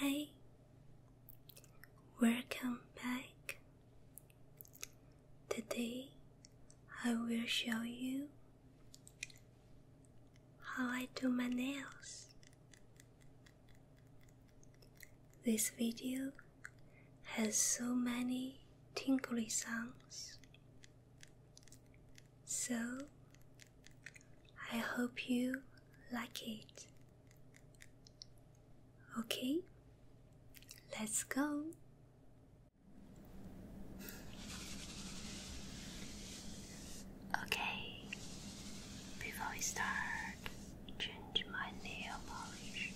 Hi, welcome back. Today I will show you how I do my nails. This video has so many tinkly sounds so, I hope you like it. Okay, let's go. Okay, before we start, change my nail polish.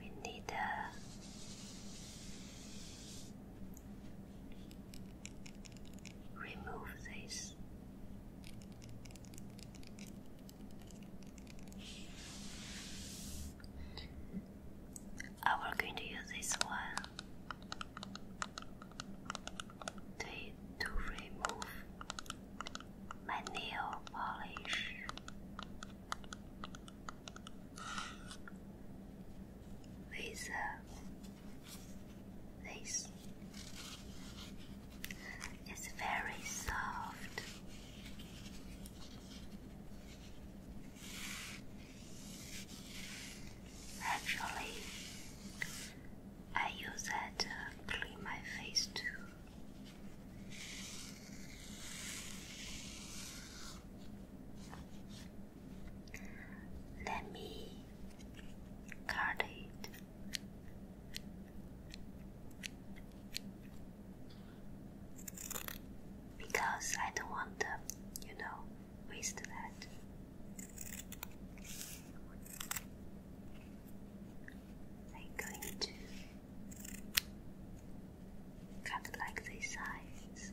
We need a Remove this. I was going to use this one to, to remove my nail polish with this. It's very soft. Actually, I use that to clean my face too. Let me cut it. Because I don't want to, you know, waste that. I'm going to Kind of like this size.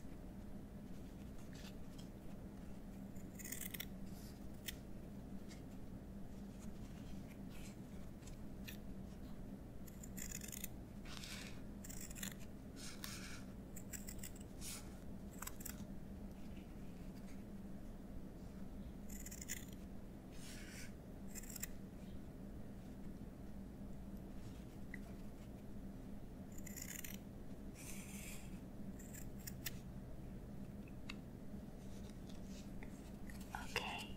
Okay.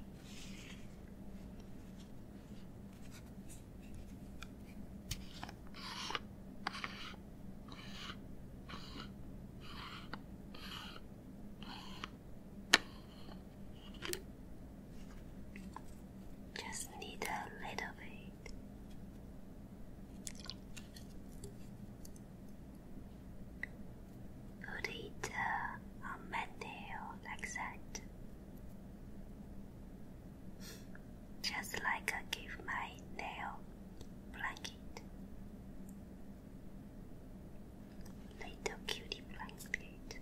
Just need a little bit could eat uh, a meal like that. Just like I give my nail blanket. Little cutie blanket.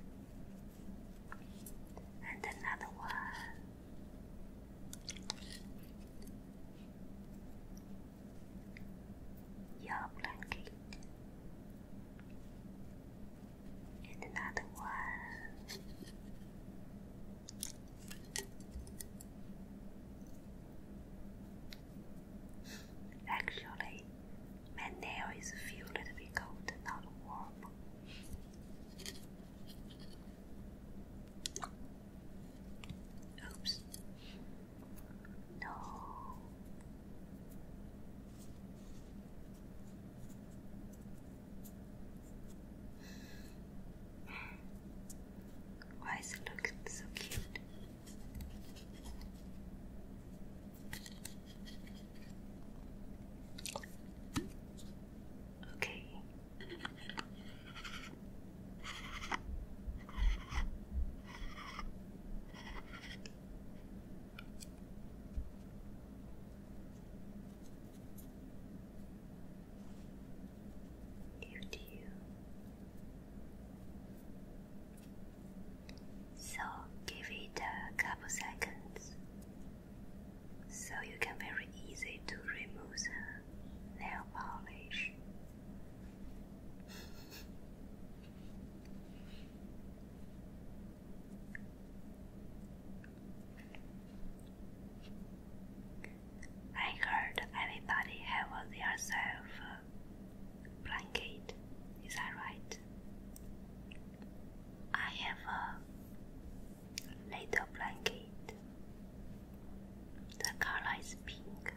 And another one your blanket and another one actually my nail is feel a little bit cold not warm Oops. No. Why is it looking so cute? Okay, Dear to you, so give it a couple seconds so you can very easy to remove the nail polish. I heard everybody have their self uh, blanket. Is that right? I have a Little blanket. The color is pink.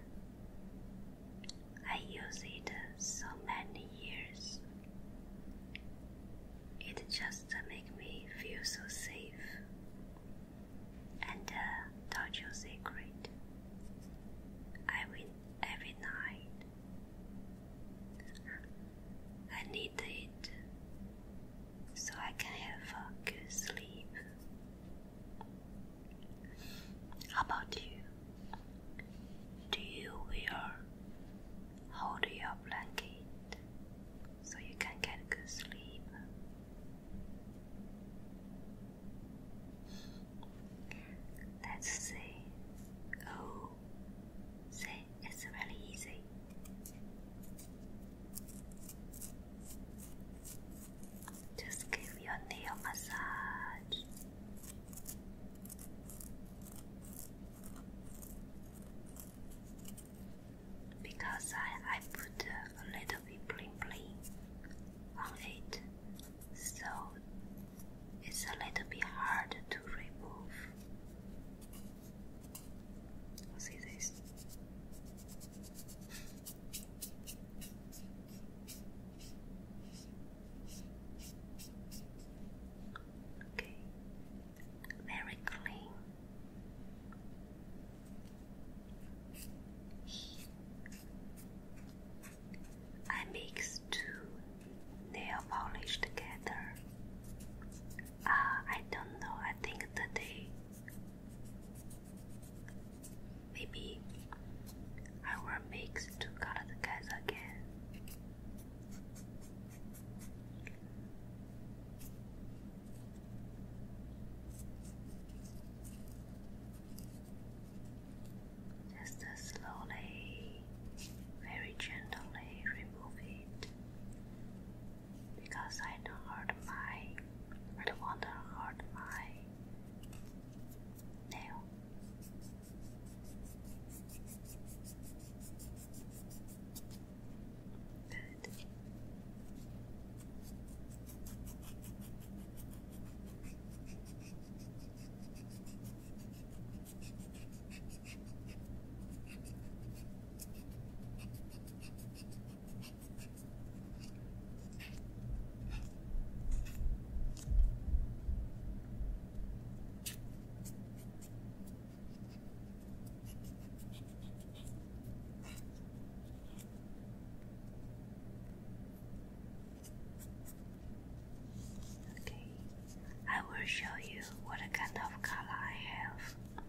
I use it so many years. It just makes me feel so safe. And uh, touch your secret. I win every night. I need it so I can have a good sleep. How about you? Do you will hold your blanket so you can get good sleep? Let's see. Oh, say it's really easy. Just give your nail massage. Because I, I put a little bit bling bling on it, so it's a little bit hard to remove. I'll see these. Okay, very clean. I mix two nail polish together uh, I don't know. I think today, maybe I will mix two colors again. Just slowly, very gently remove it because I don't hurt my, I don't want to hurt my nail. Okay, I will show you what kind of color I have.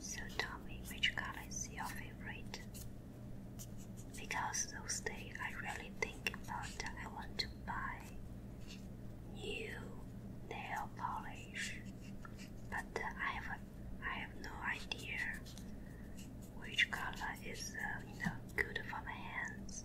So tell me which color is your favorite? Because those days I really think about I want to buy new nail polish, but uh, I have I have no idea which color is uh, you know good for my hands.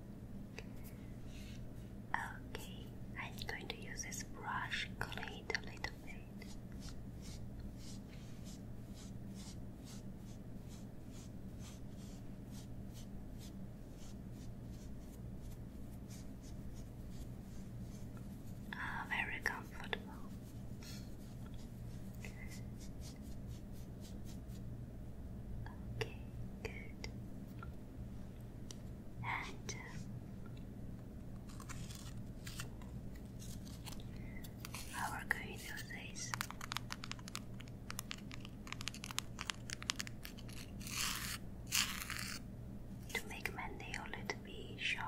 Okay, I'm going to use this brush clean a little bit. Ah, very comfortable. Okay, good. And uh, how are going those days? To make my nail a little bit short.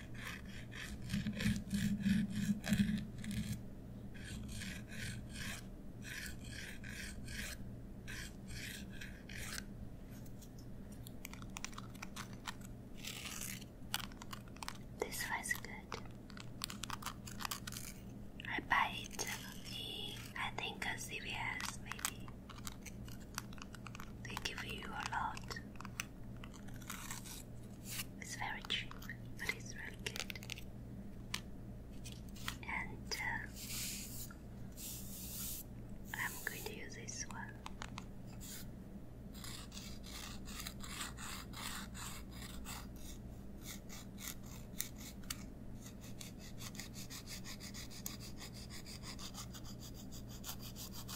This was good. I buy it I think, a CVS maybe. They give you a lot. It's very cheap, but it's really good. And uh, I'm going to use this one.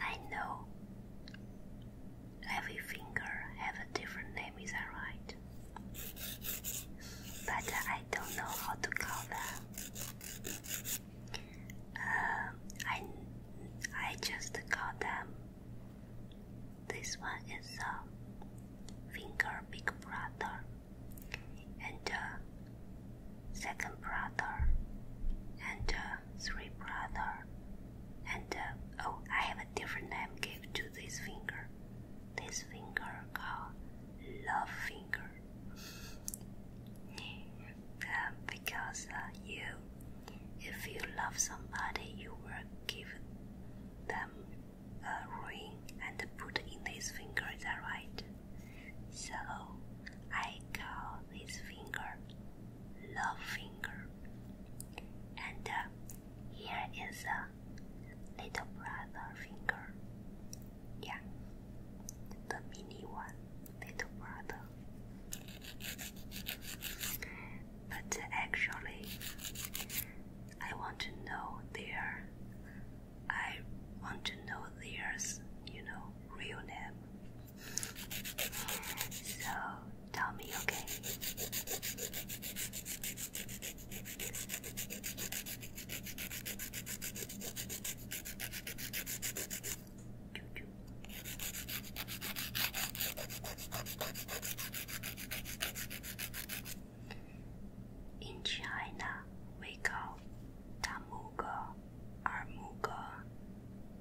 I know every finger have a different name, is alright. But I don't know how to call them. Uh, I I just call them. This one is a finger big brother, and uh, second brother, and uh, three brother, and uh, oh, I have a different name Give to this finger. This finger called love finger, um, because uh, you, if you love somebody, you will give them a ring and put in this finger. Is that right? So I call this finger love finger. And uh, here is a little brother finger. Yeah, the mini one, little brother. But uh, actually, I want to know their I want to know their, you know, real name. So tell me, okay? In China, we call tamugo 二拇哥、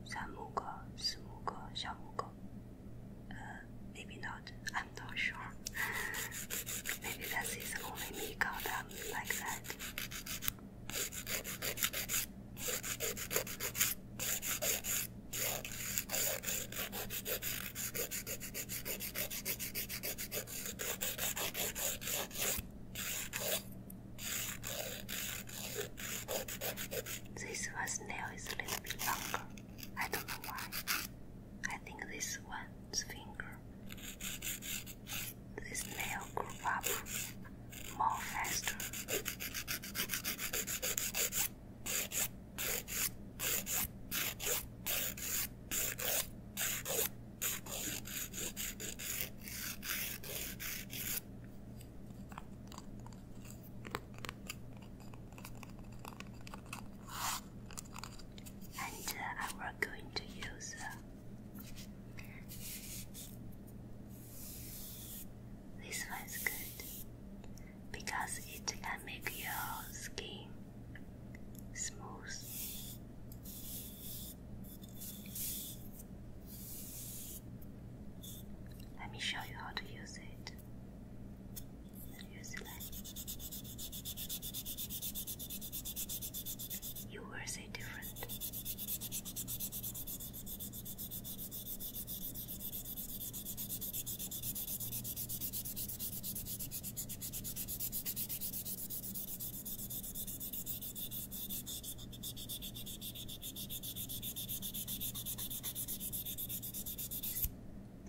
三拇哥、四拇哥、小拇哥。Uh, maybe not. I'm not sure. maybe that is the only me got them like that. This one's nail is a little bit longer. I don't know why. I think this one's finger. This nail grew up more faster. And uh, I am going to use uh, this one's good because it can make your skin smooth. Let me show you how to use it. Use it. You will different.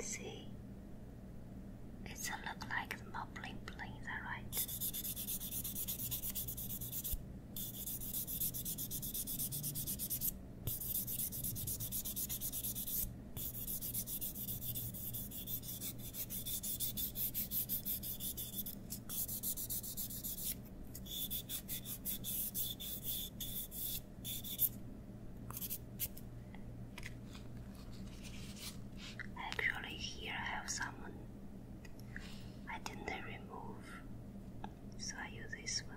See, it's a look like the more bling bling, is that right? Actually, here I have someone I didn't remove, so I use this one.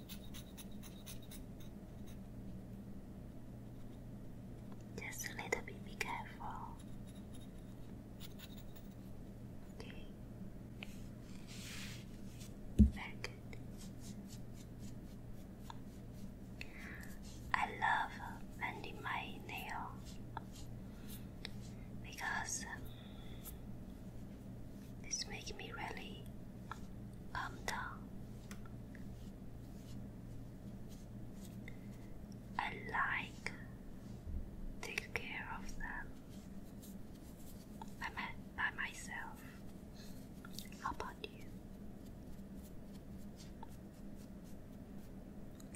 Just a little bit, be careful. Okay. Very I love bending my nail because um, this makes me really calm down. I like take care of them by, myself. How about you?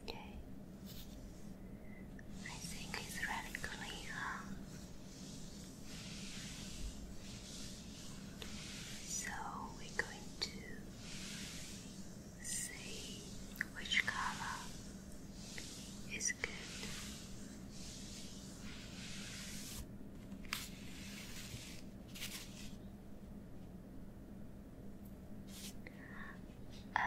Okay. I think it's really clean, so we're going to see which color is good. Um,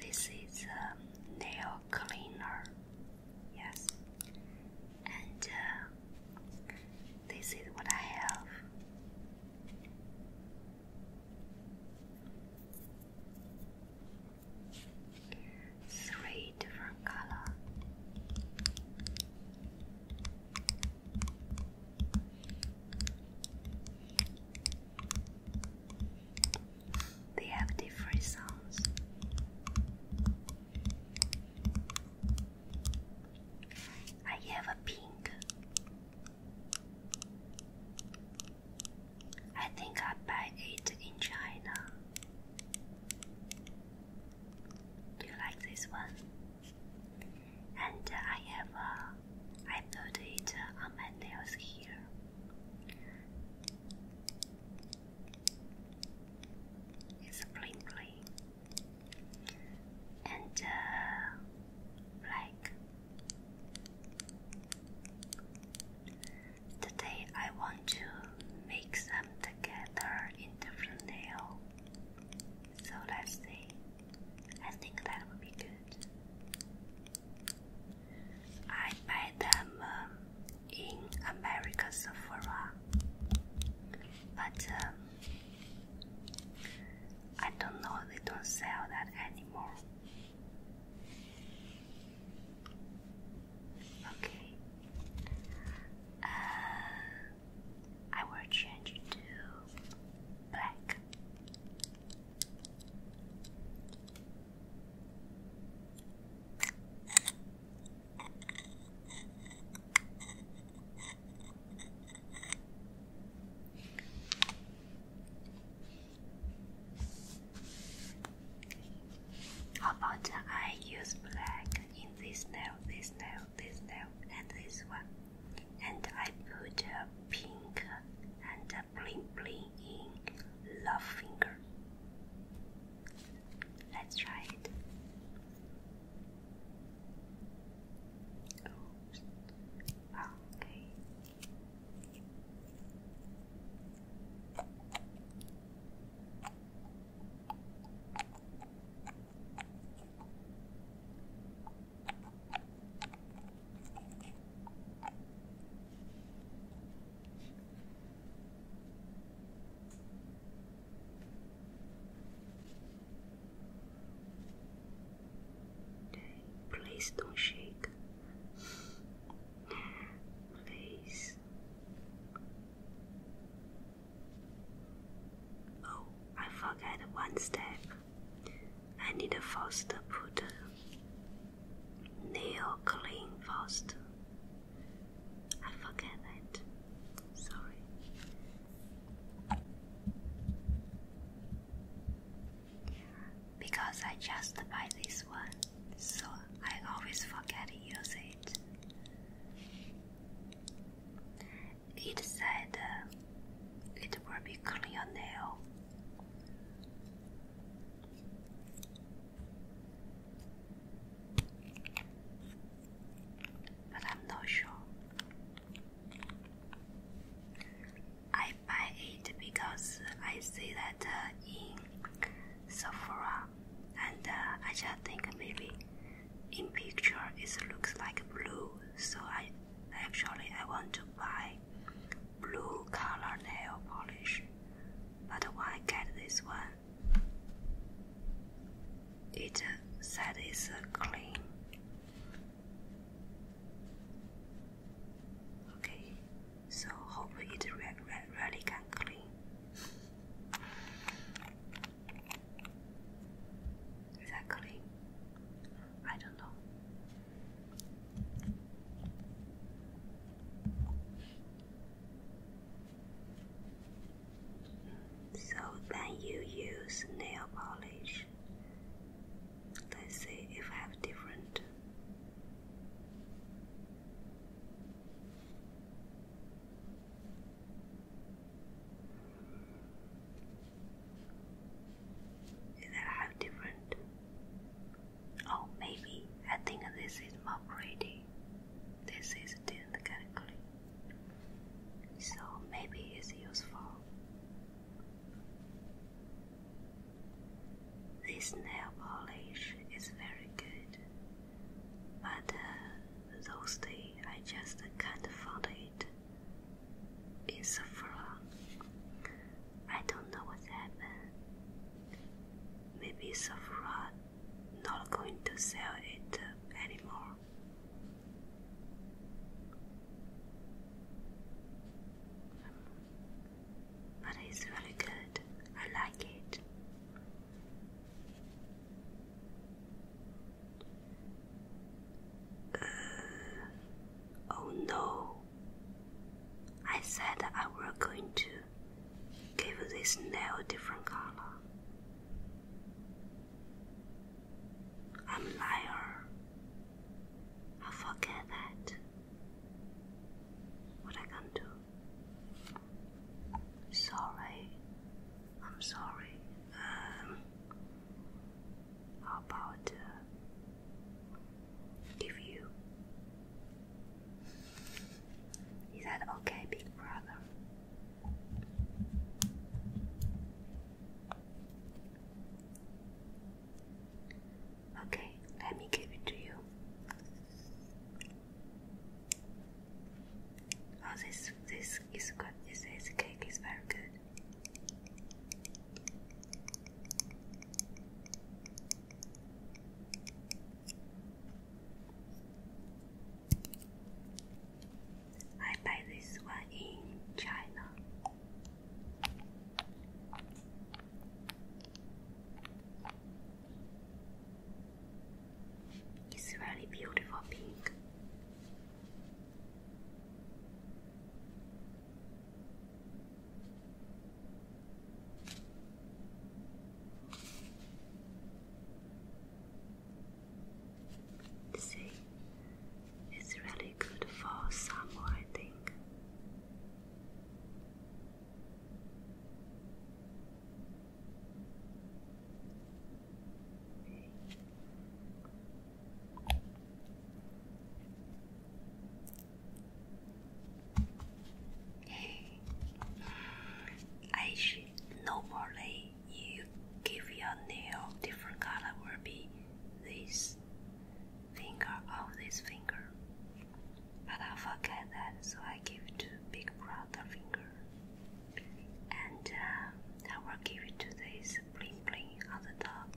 this is a um, nail cleaner. Yes. And uh, this is what I have. Three different color. They have different sounds. I have a pink. I think I buy it in China. Do you like this one? And I have uh, put it on my nails here. It's a bling bling, and uh, today, I want to mix them together in different nail. So let's see. I think that would be good. I buy them um, in America Sephora, but um, I don't know they don't sell that anymore. Okay, uh, I will change to black about I use black in this nail, this nail, this nail, and this one? And I put a pink and bling bling in love finger. Let's try it. Okay. Please don't shake. Please. Oh, I forgot one step. I need first put clean fast. I forget that. Sorry. Because I just buy this one, so I always forget to use it. It said uh, it will be clear nail but I'm not sure. I buy it because I see that uh, in Sephora, and uh, I just think maybe in picture it looks like blue, so I actually I want to buy blue color nail polish. But why get this one? It said it's clean. Okay, so hope it re re really can clean. Is that clean? I don't know. So then you use nail polish. Let's see if have different. Is that have different? Oh, maybe I think this is more pretty. This is did So maybe it's useful. This nail polish is very good, but uh, those days I just can't find it. It's a flaw. I don't know what happened maybe Sephora not going to sell it anymore. But it's really good. I like it. Uh, oh no! I said I were going to give this nail a different color. I'm liar. I forget that. What I can do. Sorry. I'm sorry. Um, how about uh, you is that okay, big brother? Okay, let me give it to you. Oh, this this is good. This, cake is very good. I buy this one in China. It's really beautiful pink. See, it's really good for summer, I think. I should normally you give your nail different color will be this finger of this finger. But I forget that so I give to big brother finger. And uh, I will give it to this bling bling on the top.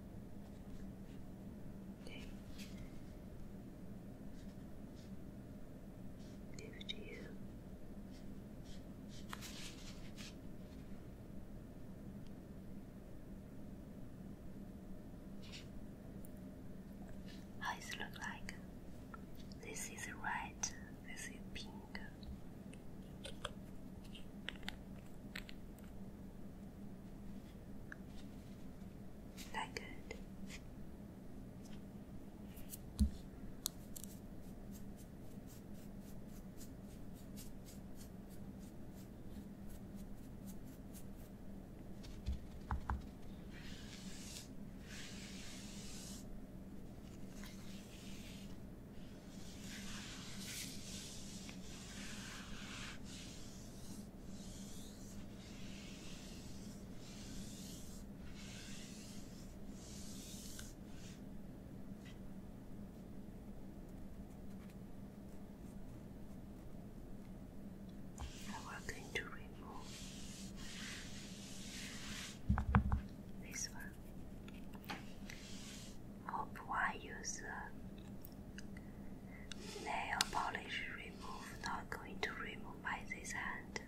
Okay. Move to you. How does it look like? This is red, this is pink that good? Now we going to remove this one. For poor user, nail polish remover. not going to remove by this hand.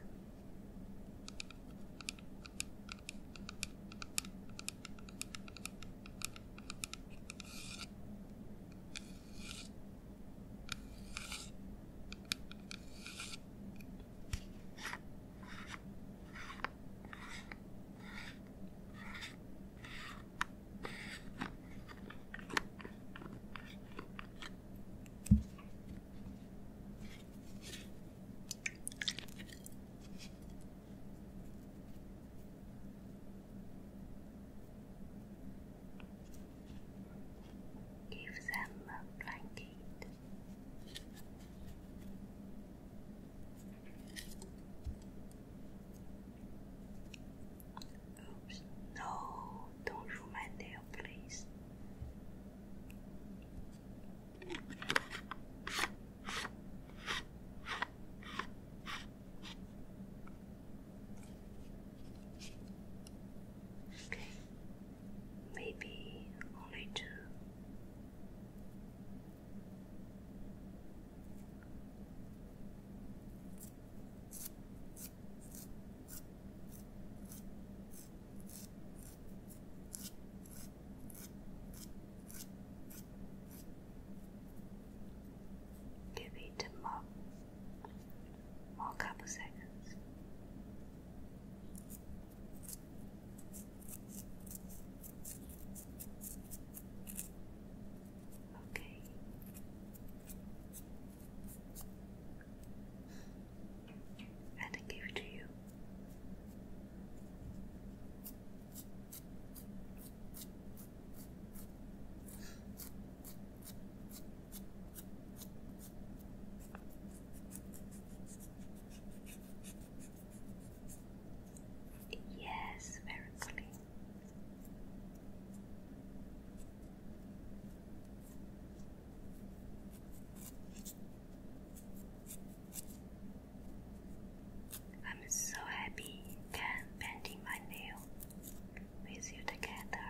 Give them a blanket. Oops, no, don't ruin my please. Okay, maybe only two. Give it more, more couple seconds. Okay. And give it to you. Yes, very clean. I'm so happy can painting my nail with you together.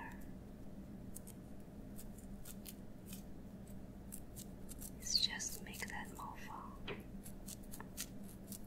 It's just make that more fun.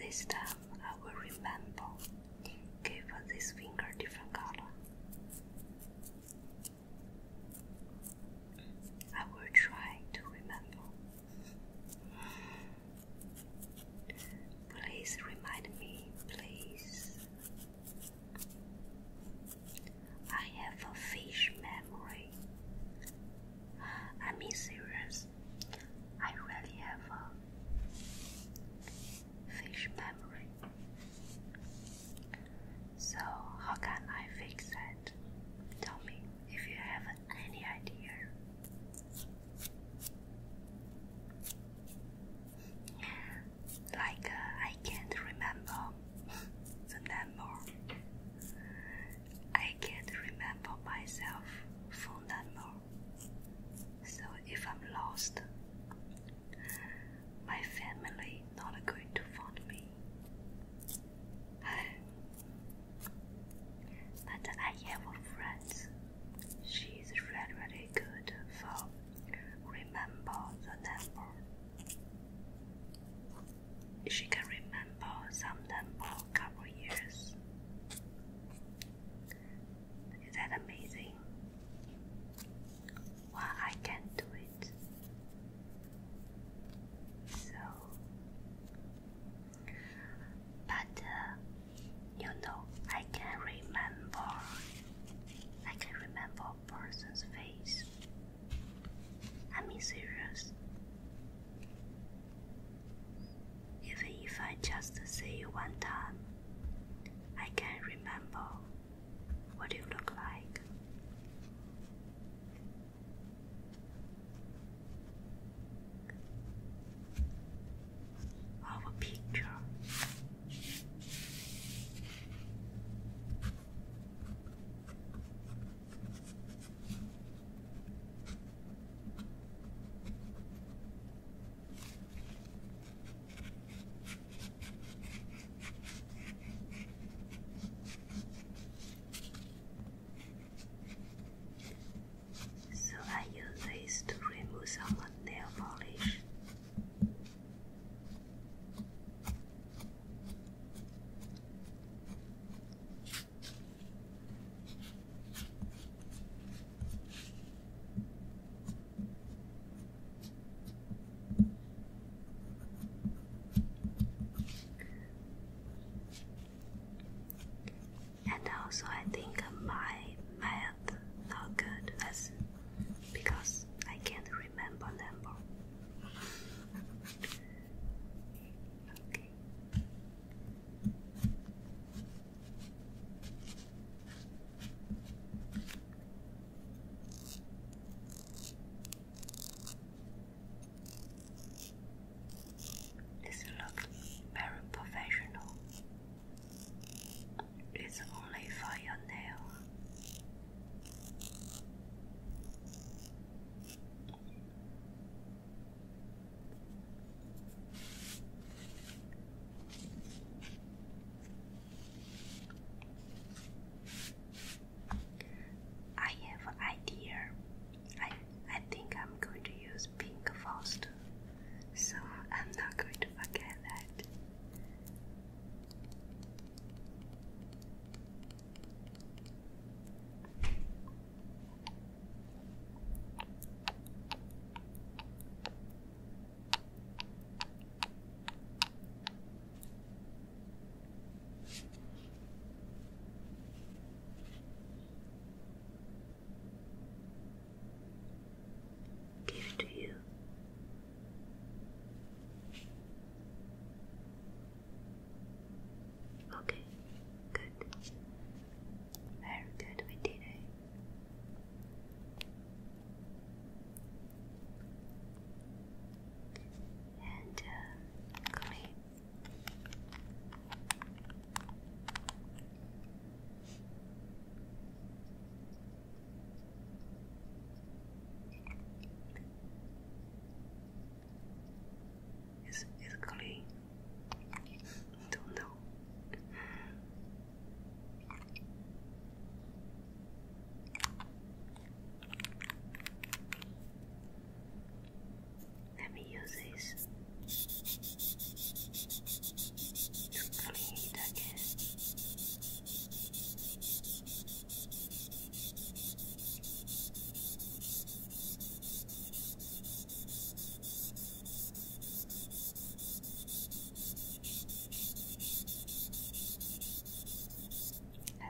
This time I will remember. Give this finger different color. I will try to remember. Please remind me, please. I have a fish memory. I am serious. I really have a fish memory. So, how can I fix that? Tell me if you have any idea. Like, uh, I can't remember the number. I can't remember myself phone number. So if I'm lost, my family not going to find me. but I have a friend. she's is really, really good for remember the number she can remember some of for a couple years. Is that amazing? Well, I can do it. So, but uh, you know, I can remember. I can remember a person's face. I mean, serious. Even if I just see you one time, I can remember what you look like. Our picture. So I use this to remove some nail polish. And also, I think my math not good lesson because I can't remember number. This looks very professional. It's only for your nail. I have an idea. I I think I'm going to use pink first, so I'm not going to forget that. Give to you. Okay, good. Very good, we did it. And uh, is is clean? Don't know. Let me use this to clean again. I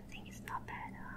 think it's not bad, huh?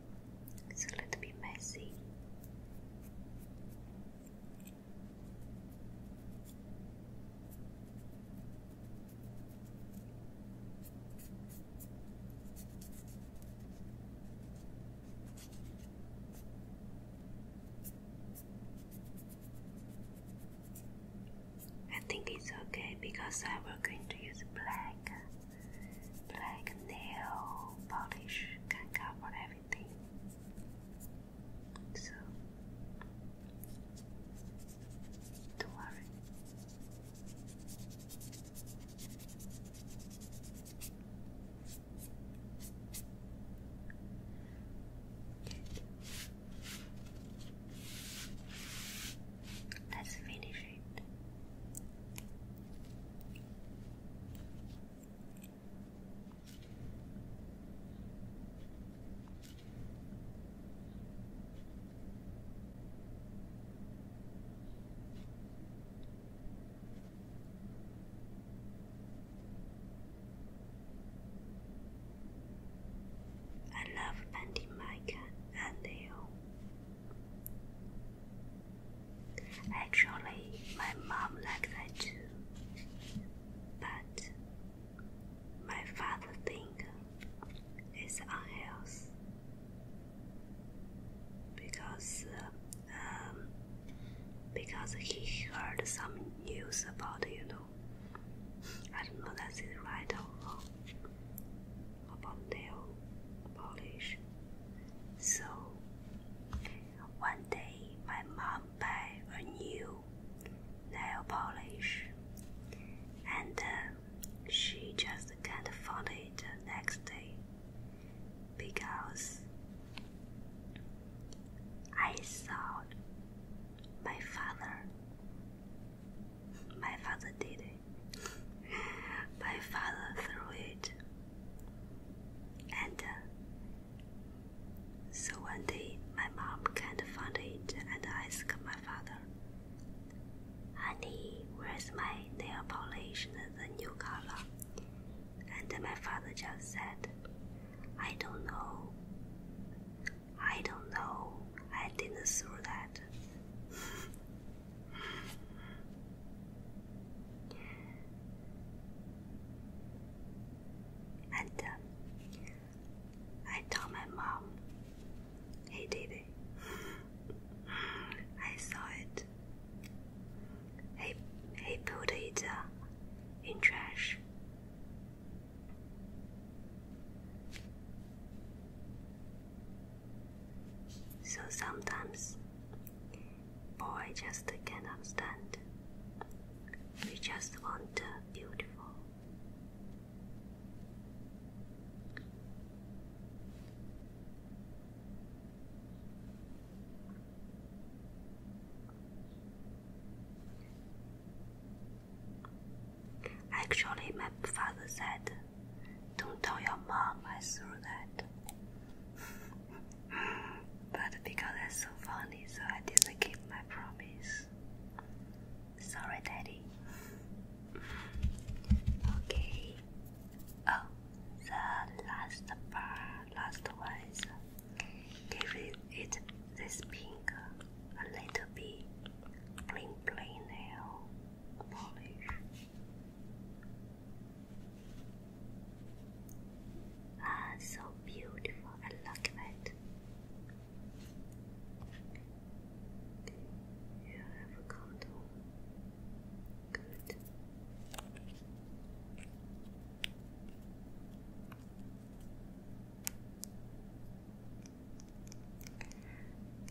It's a little bit messy. I think it's okay because I was going to use black black nail polish can cover everything. So don't worry. Let's finish it. I love Bandit Micah and Leo. Actually, my mom liked that too, but my father think it's unhealthy because um, because he heard some news about you know I don't know that's right or wrong about nail polish so one day my mom buy a new nail polish and uh, she just can't find it next day because I saw my father my father did it. my father threw it and uh, so one day my mom can't find it and ask my father, Honey, where's my nail polish and the new color? And my father just said, I don't know. I don't know. I didn't throw that. And um, I told my mom, hey David, I saw it. He, he put it in trash. So sometimes boy just cannot stand. We just want beautiful. Actually, my father said, Don't tell your mom I saw that but because it's so funny, so I didn't keep my promise. Sorry, Daddy. Okay. Oh, the last part, last one give it, this pink a little bit clean, clean nail polish. Ah, so beautiful. I love that. You have a cotton. Good.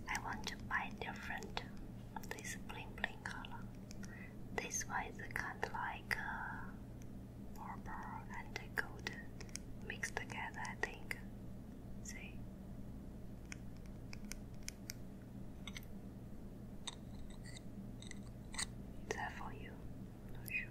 I want to buy different this bling bling color. This one is kind of like uh, and golden mixed together, I think. See? Is for you? Not sure.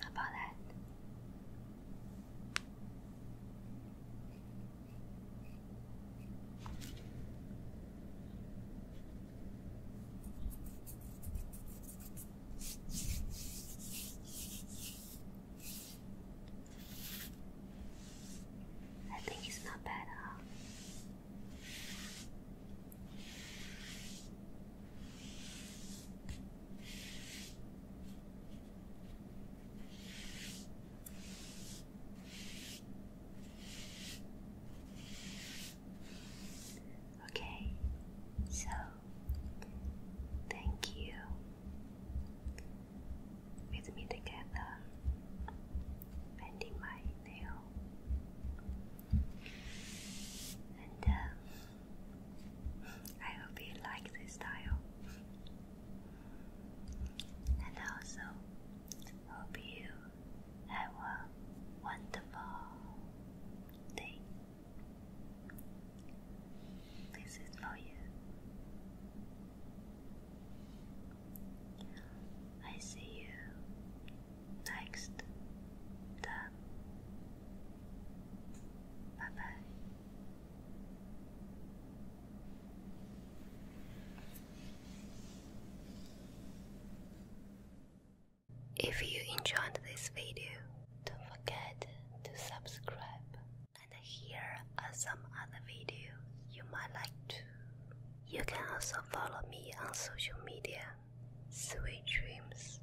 about that? I think it's not bad, at all. Okay, so thank you with me together, bending my nail, and um, I hope you like this style. And also, hope you have a wonderful day. This is for you. I see you next time. Bye bye. If you enjoyed this video, don't forget to subscribe and here are some other videos you might like to. You can also follow me on social media. Sweet dreams.